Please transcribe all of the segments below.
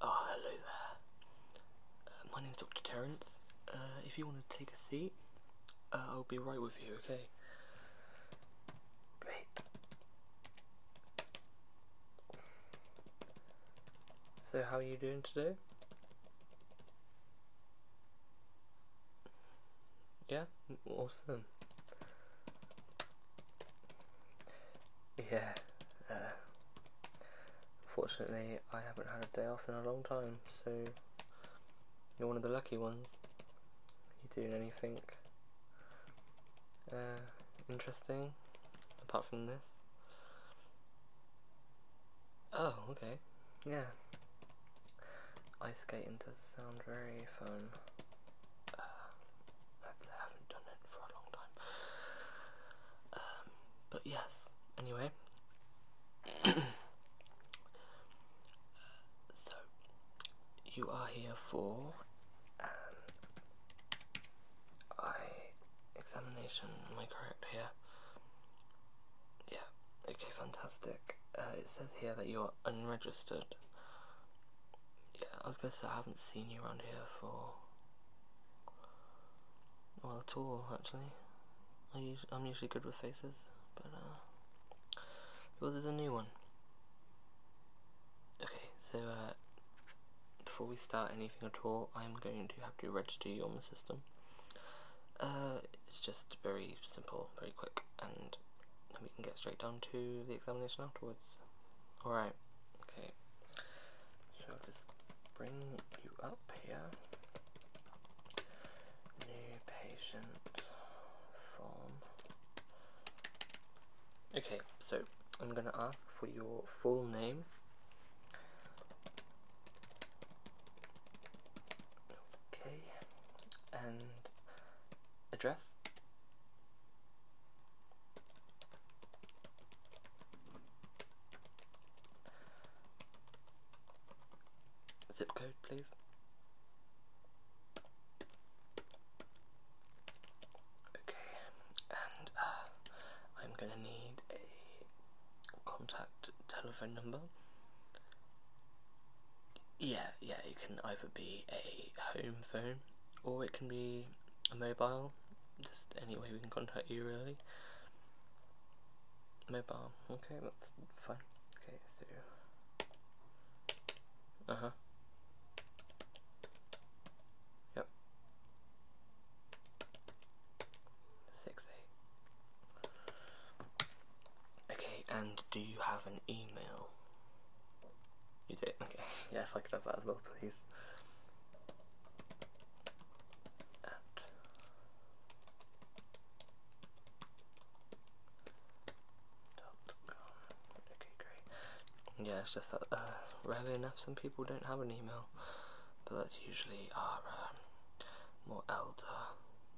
Oh, hello there. Uh, my name's Dr. Terence. Uh, if you want to take a seat, uh, I'll be right with you, okay? Great. So, how are you doing today? Yeah? Awesome yeah, unfortunately uh, I haven't had a day off in a long time, so you're one of the lucky ones. Are you doing anything uh, interesting apart from this? Oh, okay, yeah. Ice skating does sound very fun. Uh, I haven't done it for a long time. Um, but yes, anyway. so, you are here for an um, examination, am I correct here? Yeah, okay, fantastic. Uh, it says here that you're unregistered yeah, I was gonna say I haven't seen you around here for well at all actually. I am usually good with faces, but uh, well, there's a new one. Okay, so uh, before we start anything at all, I'm going to have to register you on the system. Uh, it's just very simple, very quick, and we can get straight down to the examination afterwards. Alright, okay. So i just bring you up here. New patient form. Okay, so I'm gonna ask for your full name. Okay, and address Zip code, please. Okay, and uh, I'm gonna need a contact telephone number yeah, yeah, it can either be a home phone or it can be a mobile. Just any way we can contact you, really. Mobile. Okay, that's fine. Okay, so. Uh huh. Yep. Six eight. Okay, and do you have an email? You do? Okay, yeah, if I could have that as well, please. At okay, great. Yeah, it's just that uh, rarely enough some people don't have an email, but that's usually our um, more elder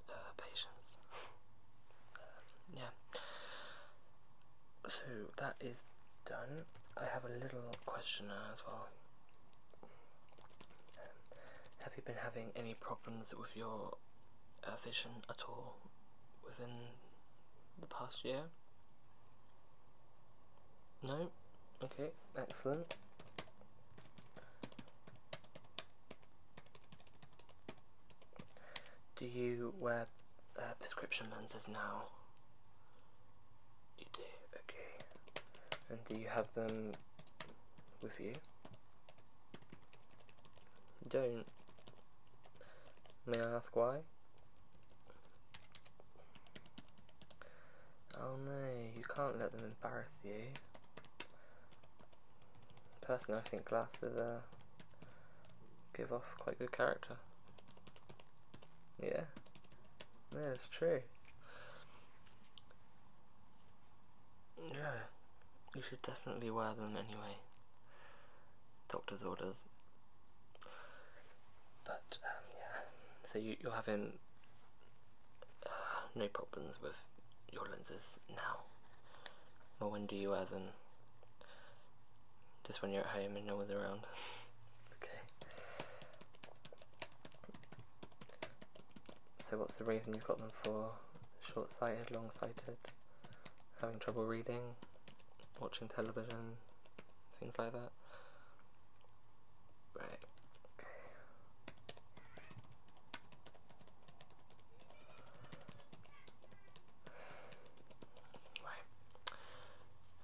uh, patients. Um, yeah. So that is done. I have a little questionnaire as well. Um, have you been having any problems with your uh, vision at all within the past year? No? Okay, excellent. Do you wear uh, prescription lenses now? You do, okay. And do you have them with you? you don't. May I ask why? Oh no, you can't let them embarrass you. Personally, I think glasses give off quite good character. Yeah, yeah, it's true. Yeah, you should definitely wear them anyway. Doctor's orders. But um, yeah, so you, you're having uh, no problems with your lenses now. No wonder you have them. just when you're at home and no one's around. okay. So what's the reason you've got them for? Short-sighted, long-sighted, having trouble reading, watching television, things like that. Right.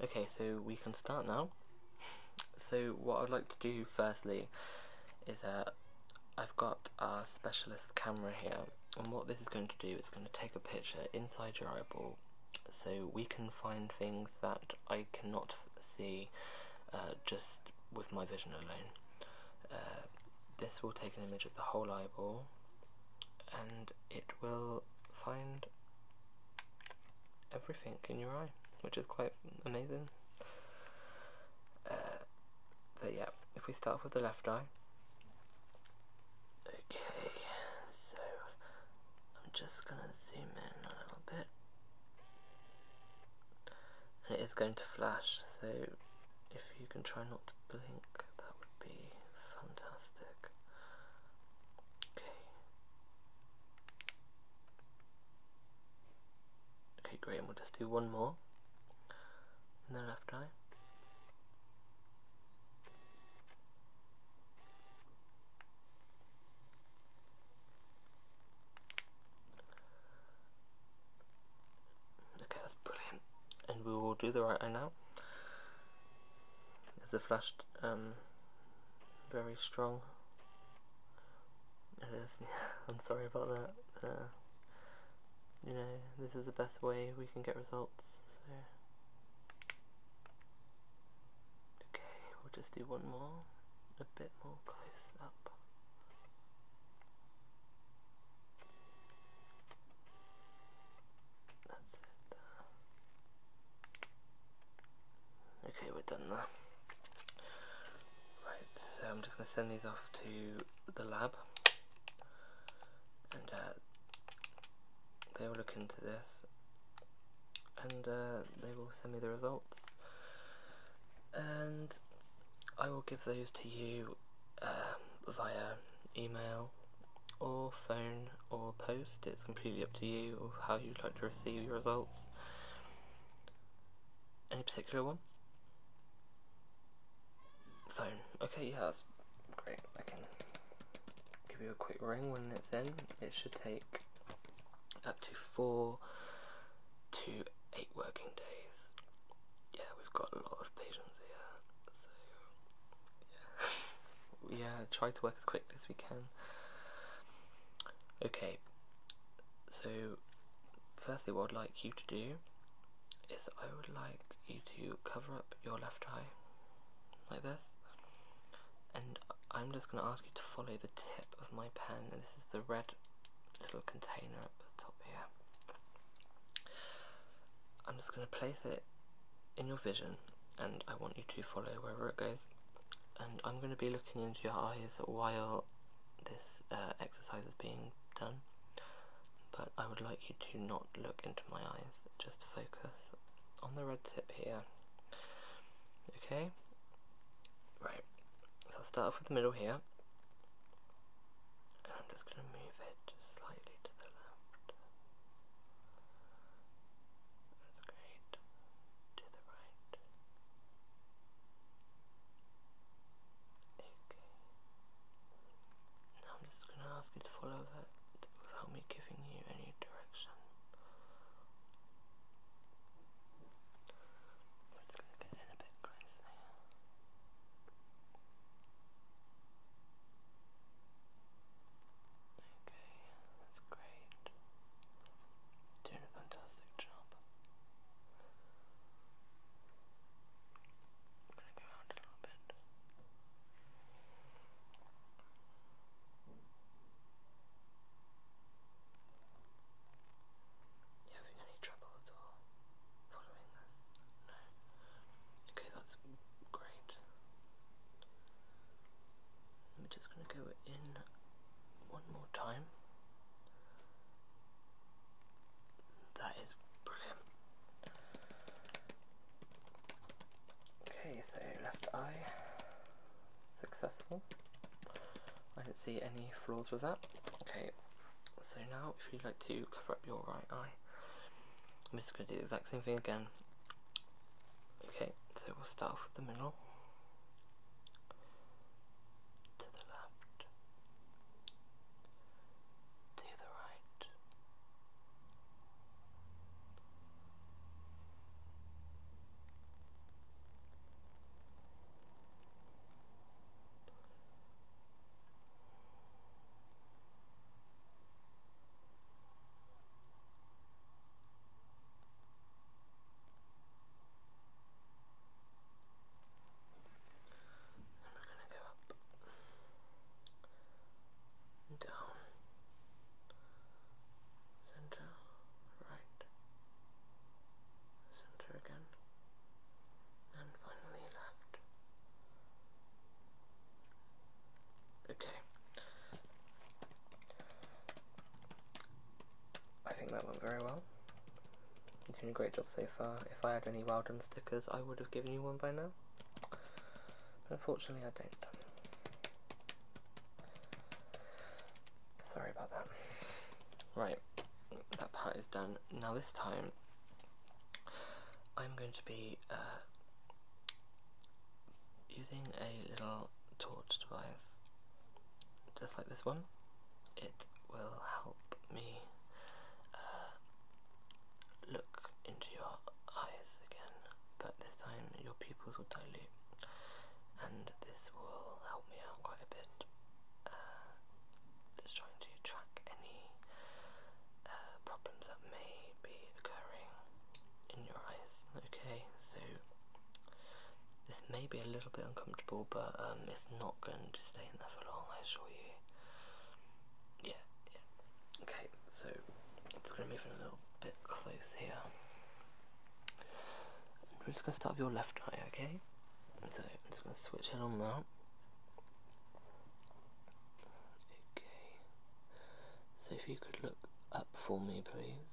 Okay, so we can start now. So what I'd like to do firstly is that uh, I've got a specialist camera here and what this is going to do is going to take a picture inside your eyeball so we can find things that I cannot see uh, just with my vision alone. Uh, this will take an image of the whole eyeball and it will find everything in your eye, which is quite amazing. Uh, but yeah, if we start with the left eye. Okay, so I'm just gonna zoom in a little bit. It is going to flash, so if you can try not to blink, that would be fantastic. Okay. Okay, great, we'll just do one more in the left eye. Okay, that's brilliant. And we will do the right eye now. Is the flash um, very strong? It is. I'm sorry about that. Uh, you know, this is the best way we can get results. Okay, we'll just do one more, a bit more close up. Okay, we're done there. Right, so I'm just going to send these off to the lab. And uh, they will look into this. And uh, they will send me the results and I will give those to you um, via email or phone or post. It's completely up to you how you'd like to receive your results. Any particular one? Phone. Okay, yeah, that's great. I can give you a quick ring when it's in. It should take up to four to eight working days. Yeah, we've got a lot of patients here, so yeah, try to work as quickly as we can. Okay, so firstly, what I'd like you to do is I would like you to cover up your left eye like this, and I'm just going to ask you to follow the tip of my pen and this is the red little container at the top here. I'm just going to place it in your vision and I want you to follow wherever it goes and I'm going to be looking into your eyes while this uh, exercise is being done but I would like you to not look into my eyes, just focus on the red tip here Okay, right, so I'll start off with the middle here, I'm just going to move it slightly to the left. That's great. To the right. Okay. Now I'm just going to ask you to follow that without me giving you any direction. So it's going to get in a bit crazy. Okay, that's great. Doing a fantastic job. I'm going to go out a little bit having any trouble at all following this? No? Okay, that's great. I'm just going to go in one more time. That is brilliant. Okay, so left eye successful. I didn't see any flaws with that. Okay, so now if you'd like to cover up your right eye, I'm just going to do the exact same thing again. Okay, so we'll start off with the middle. To the left. To the right. And we're going to go up down, center, right, center again, and finally left. Okay. I think that went very well. You're doing a great job so far. If I had any well stickers, I would have given you one by now. But unfortunately I don't. Sorry about that. Right, that part is done. Now this time I'm going to be uh, using a little torch device just like this one. It will help me uh, look into your eyes again but this time your pupils will dilute and this will help me out quite a bit. Uh, just trying to track any uh, problems that may be occurring in your eyes. Okay, so this may be a little bit uncomfortable, but um, it's not going to stay in there for long, I assure you. Yeah, yeah. Okay, so it's going to move in a little bit close here. We're just going to start with your left eye, okay? So I'm just going to switch it on now. Okay. So if you could look up for me, please.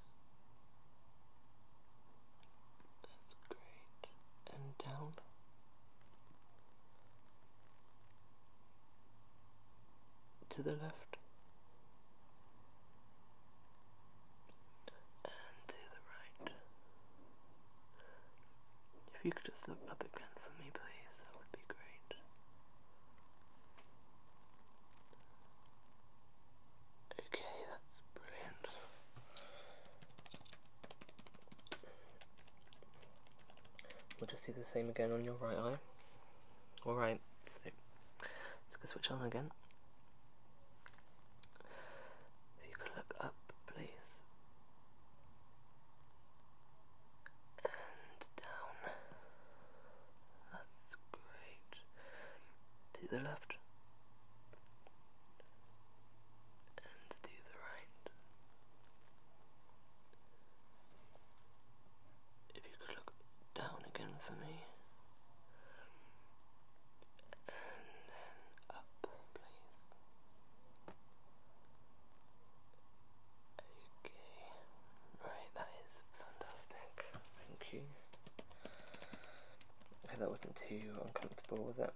That's great. And down to the left and to the right. If you could just look up again for me, please, that would be great. Okay, that's brilliant. We'll just do the same again on your right eye. Alright, so let's go switch on again. If you could look up, please. And down. That's great. To the left. And to the right. If you could look down again for me. And then up, please. Okay. Right, that is fantastic. Thank you. I that wasn't too uncomfortable, was it?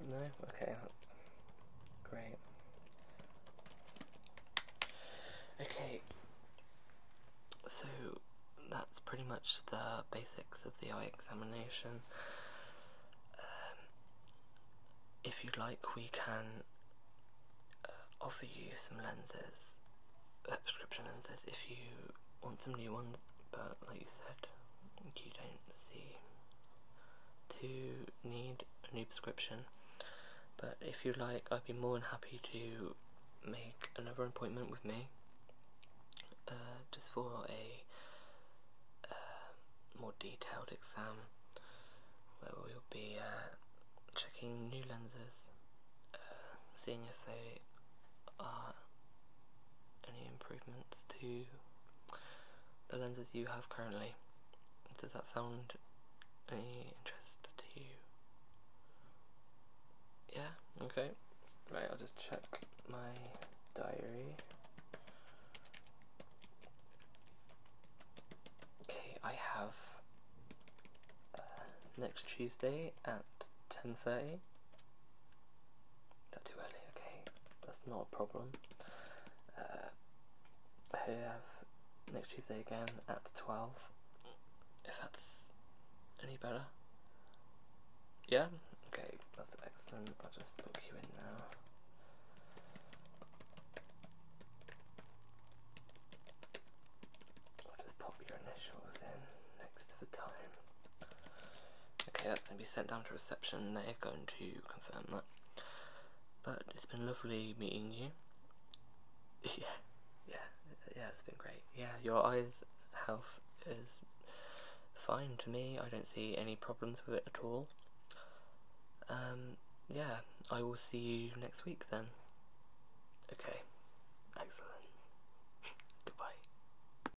No? Okay, great. Okay, so that's pretty much the basics of the eye examination. Um, if you would like, we can uh, offer you some lenses, uh, prescription lenses, if you want some new ones, but like you said, you don't see to need a new prescription. But if you like, I'd be more than happy to make another appointment with me uh, just for a uh, more detailed exam where we'll be uh, checking new lenses, seeing if they are any improvements to the lenses you have currently. Does that sound any interest to you? Yeah, okay. Right, I'll just check my diary. Okay, I have uh, next Tuesday at 10.30 that's too early, okay. That's not a problem. Uh, I have next Tuesday again at 12. If that's any better. Yeah? Okay, that's excellent. I'll just book you in now. I'll just pop your initials in next to the time. Okay, that's going to be sent down to reception. They're going to confirm that. But it's been lovely meeting you. yeah, yeah, yeah, it's been great. Yeah, your eyes' health is fine to me. I don't see any problems with it at all. Um, yeah, I will see you next week then. Okay, excellent.